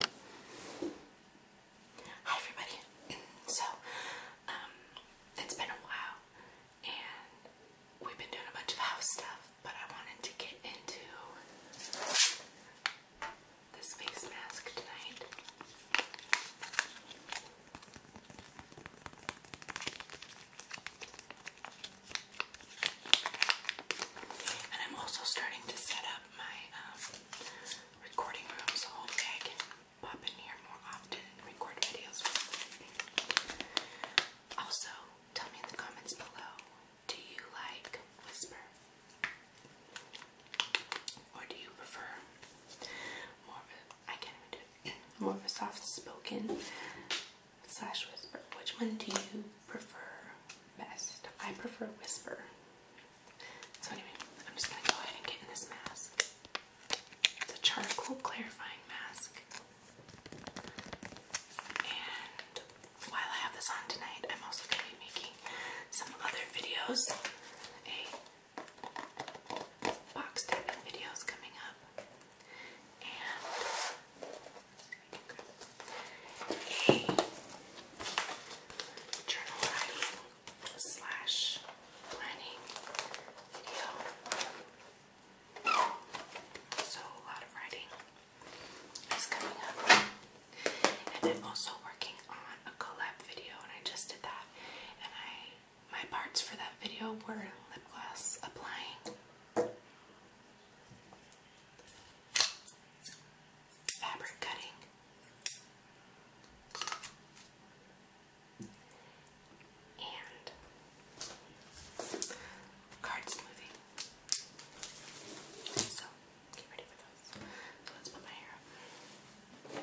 Hi everybody. So, um, it's been a while and we've been doing a bunch of house stuff, but I wanted to get into this face mask tonight. And I'm also starting to set up my um, recording room so hopefully I can pop in here more often and record videos Also, tell me in the comments below, do you like Whisper? Or do you prefer more of a soft spoken slash whisper? Which one do you prefer best? I prefer whisper. So anyway, I'm just gonna go ahead and get in this mask. It's a charcoal clarifying mask. And while I have this on tonight, I'm also gonna be making some other videos. A box tapping video coming up. And a journal writing slash planning video. So a lot of writing is coming up. And I'm also working on a collab video and I just did that. And I my parts for that video were lip gloss applying. Fabric cutting and card smoothing. So get ready for those. So let's put my hair up.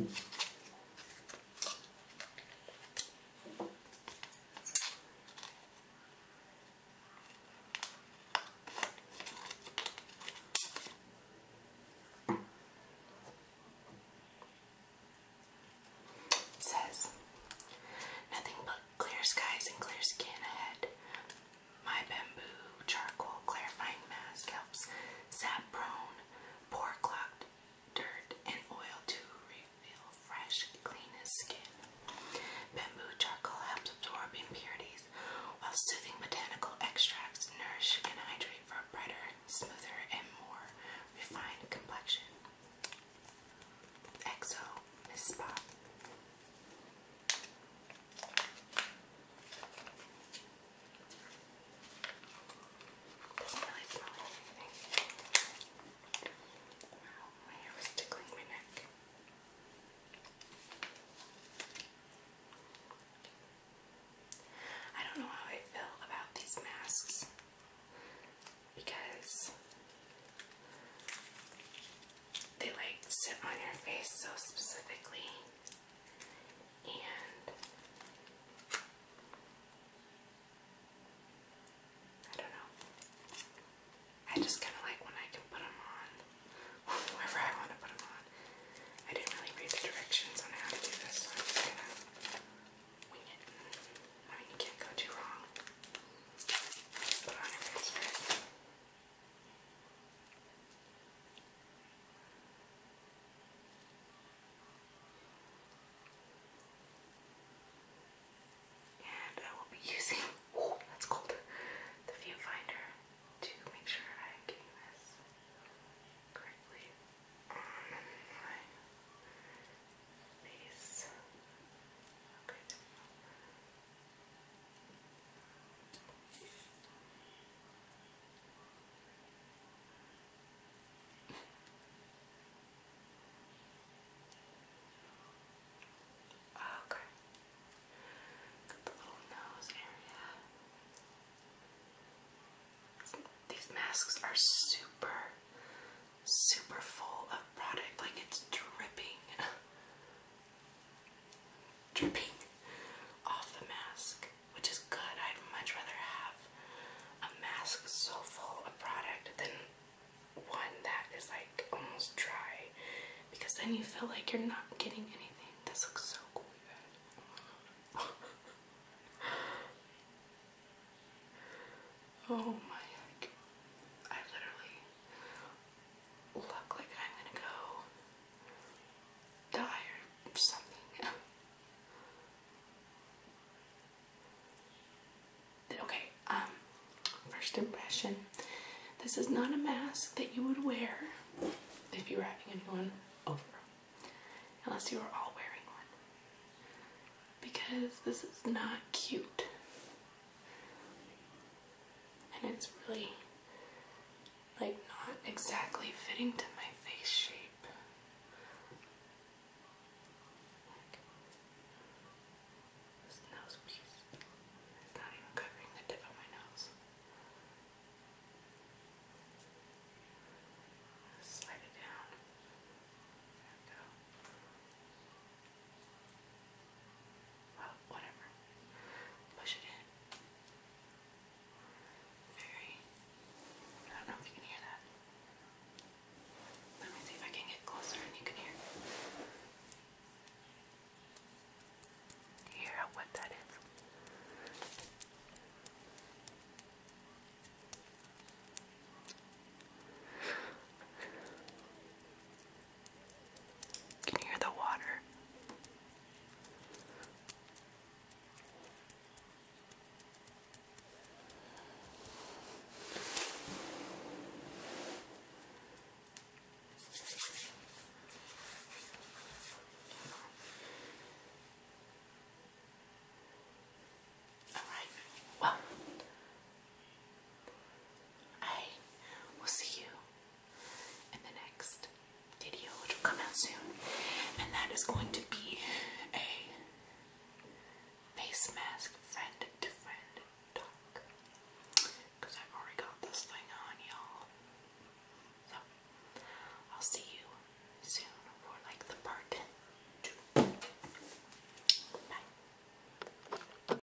It says, nothing but Clear skies and clear skin ahead. My bamboo charcoal clarifying mask helps sap prone, pore clogged dirt, and oil to reveal fresh, clean skin. Bamboo charcoal helps absorb impurities, while soothing botanical extracts nourish and hydrate for a brighter, smoother, and more refined complexion. EXO Miss Spot. Doesn't really smell anything. my hair was tickling my neck. I don't know how I feel about these masks because they like sit on your face so specifically and I don't know. I just kind of like when I can put them on, wherever I want to put them on. I didn't really read the directions on how to do this, so I'm just gonna wing it. I mean, you can't go too wrong. Put on And I will be using, oh, that's cold, the viewfinder to make sure I'm this correctly on my face. Okay. Oh, okay. Got the little nose area. These masks are super super full of product, like it's dripping, dripping off the mask, which is good. I'd much rather have a mask so full of product than one that is like almost dry, because then you feel like you're not getting anything. This looks so cool. oh my heck. I literally look like I'm gonna go die or something. okay, um, first impression. This is not a mask that you would wear if you were having anyone over, unless you were all wearing one, because this is not cute. And it's really like not exactly fitting to my face shape. this nose piece is not even covering the tip of my nose. Slide it down. There we go. Well, whatever. Push it in. Very. I don't know if you can hear that. Let me see if I can get closer and you can hear. hear how that is? Can you hear the water? All right. Well, I will see you in the next video, which will come out soon, and that is going to be a face mask friend to friend talk because i already got this thing on, y'all. So, I'll see you soon for like the part two. Bye.